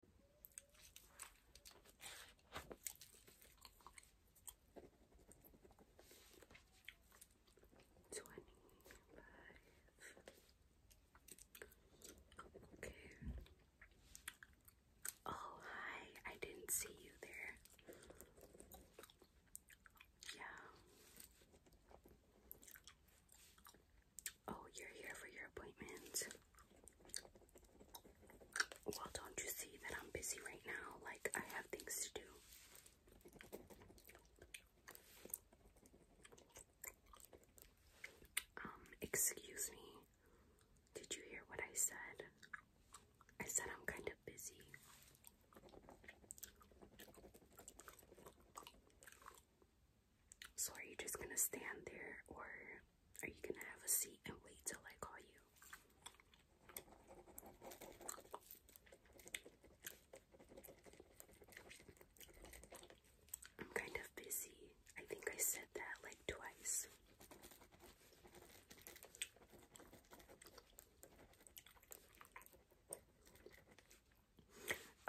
25. Okay. Oh, hi. I didn't see you there. Yeah. Oh, you're here for your appointment. Well, don't you see that I'm busy right now? Like, I have things to do. Um, excuse me. Did you hear what I said? I said I'm kind of busy. So are you just gonna stand there or are you gonna have a seat and wait till I call you? I'm kind of busy. I think I said that like twice.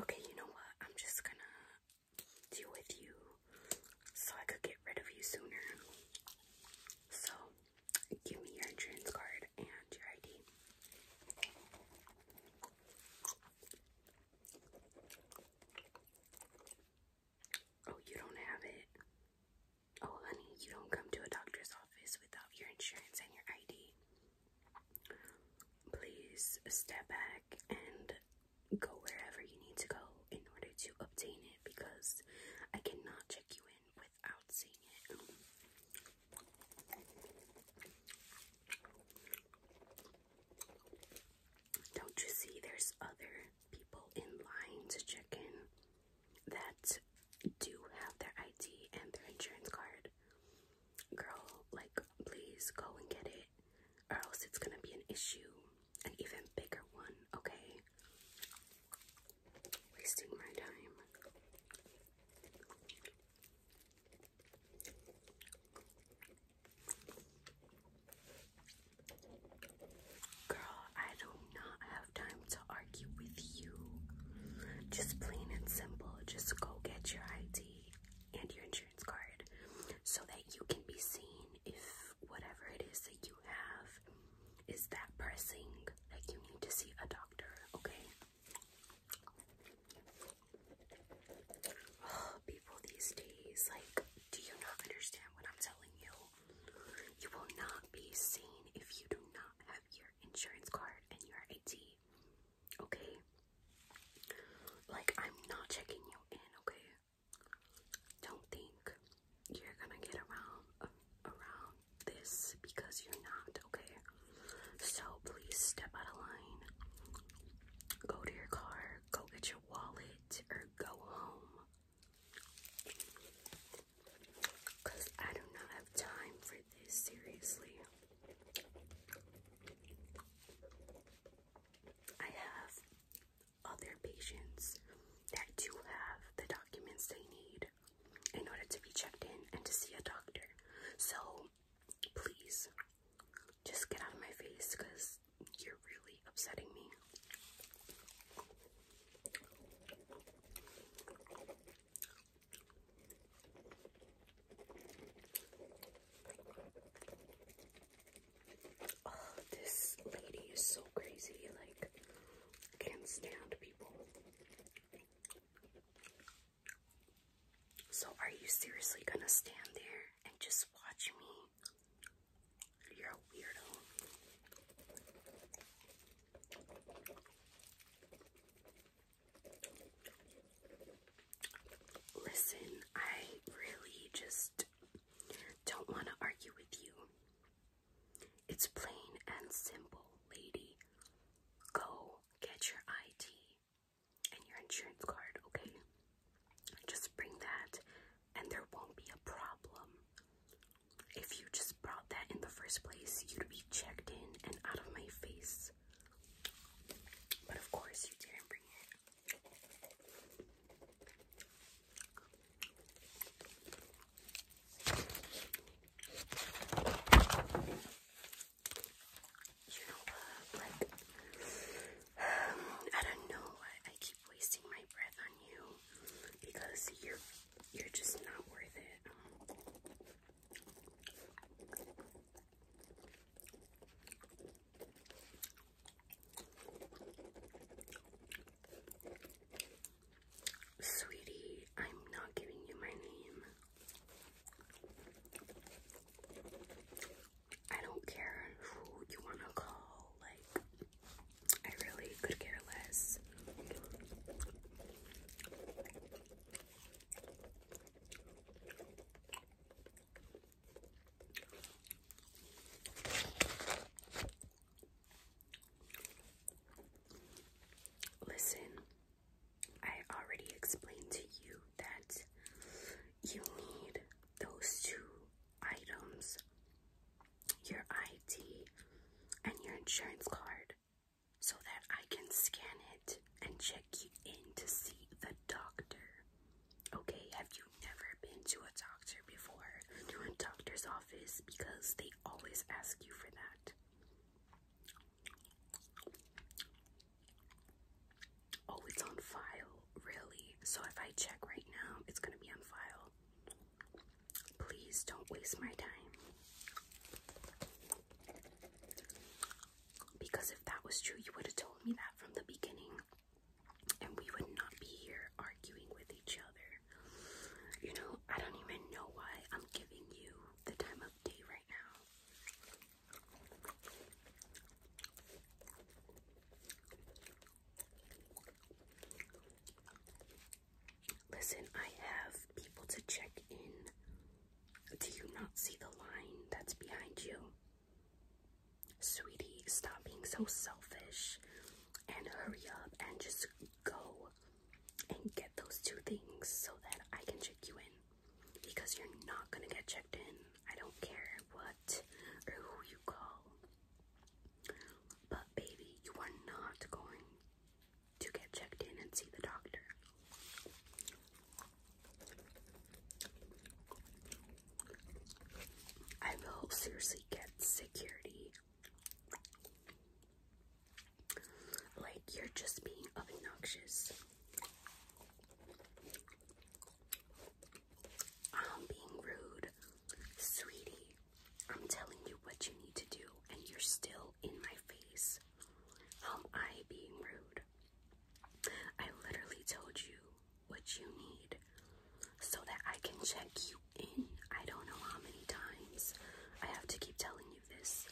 Okay, you know what? I'm just gonna deal with you so I could get rid of you sooner. So, give me your insurance card and your ID. Oh, you don't have it. Oh, honey, you don't come to a doctor's office without your insurance and your ID. Please step back and go wherever you need to go in order to obtain it because I cannot check you in without seeing it. Don't you see there's other people in line to check in that do have their ID and their insurance card? Girl, like, please go and get it, or else it's gonna be an issue an even bigger one, okay? Wasting my time. Girl, I do not have time to argue with you. Just plain and simple, just go get your ID and your insurance card so that you can be seen if whatever it is that you have is that pressing, like you need to see a doctor, okay? people these days, like, do you not understand what I'm telling you? You will not be seen if you do not have your insurance card and your ID, okay? Like, I'm not checking you in, okay? Don't think you're gonna get around around this because you're not, okay? So please step out of line. Go to your car, go get your wallet, or go home. Cause I do not have time for this, seriously. I have other patients that do have the documents they need in order to be checked in and to see a doctor. So please just get out of my face because you're really upsetting me. Oh, this lady is so crazy. Like, can't stand people. So, are you seriously gonna stand there and just watch me? You're a weirdo. Listen, I really just don't want to argue with you. It's plain and simple, lady. Go get your ID and your insurance card, okay? Just bring that and there won't be a problem. If you just brought that in the first place, you'd be checked in and out of my face. But of course, you didn't bring it. You I don't know why I keep wasting my breath on you because you you're just not worth it. Sweetie, I'm not giving you my name. I don't care who you want to call, like, I really could care less. Listen, I already explained to you that you need those two items your ID and your insurance card so that I can scan it and check you in to see the doctor. Okay, have you never been to a doctor before? To a doctor's office because they always ask you for that. Oh, it's on file, really? So if I check right now, it's gonna be on file. Please don't waste my time. Because if that was true, you would have told me that from the beginning and we would not be here arguing with each other. You know, I don't even know why I'm giving you the time of day right now. Listen, I have people to check in. Do you not see the line that's behind you? Sweetie, stop being so selfish and hurry up and just go and get those two things so that I can check you in. Because you're not gonna get checked in. I don't care what or who you call. But, baby, you are not going to get checked in and see the doctor. I will seriously get security. Like, you're just being obnoxious. I'm being rude. Sweetie, I'm telling you what you need to do, and you're still in my face. How am I being rude? I literally told you what you need so that I can check you in. I don't know how many times I have to keep telling you this.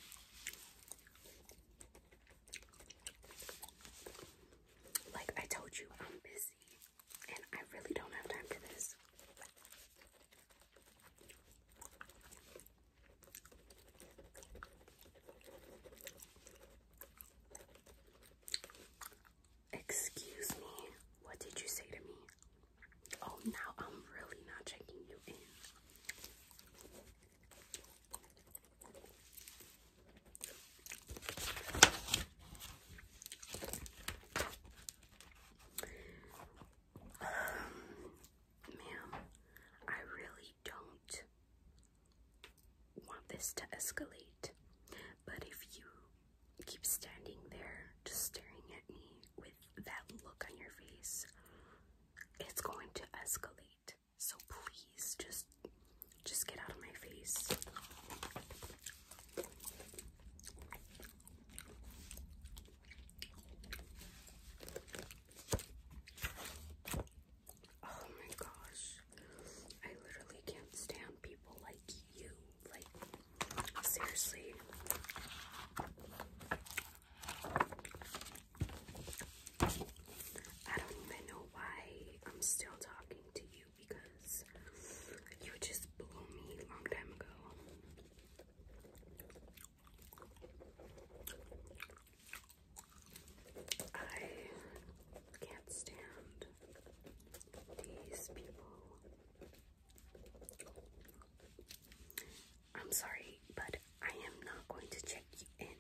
Like I told you, I'm busy and I really don't have time for this. Excuse me, what did you say to me? Oh, now I'm really not checking you in. Um, ma'am, I really don't want this to escalate, but if you keep standing there just staring at me with that look on your face, it's going to escalate. So please just just get out of my face. Oh my gosh. I literally can't stand people like you. Like, seriously. I don't even know why I'm still talking to you because you just blew me long time ago. I can't stand these people. I'm sorry, but I am not going to check you in.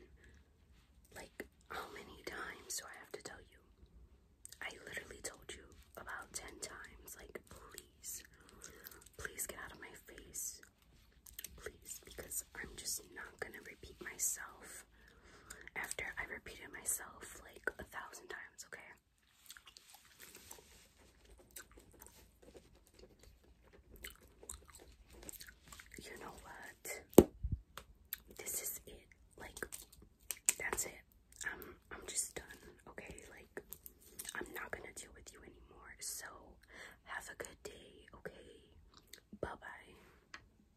Like, how many times do I have to tell you? I literally told you about 10 times. Like, please, please get out of my face. Please, because I'm just not gonna repeat myself myself after I repeated myself like a thousand times, okay? You know what? This is it. Like that's it. I'm I'm just done. Okay? Like I'm not going to deal with you anymore. So have a good day, okay? Bye-bye.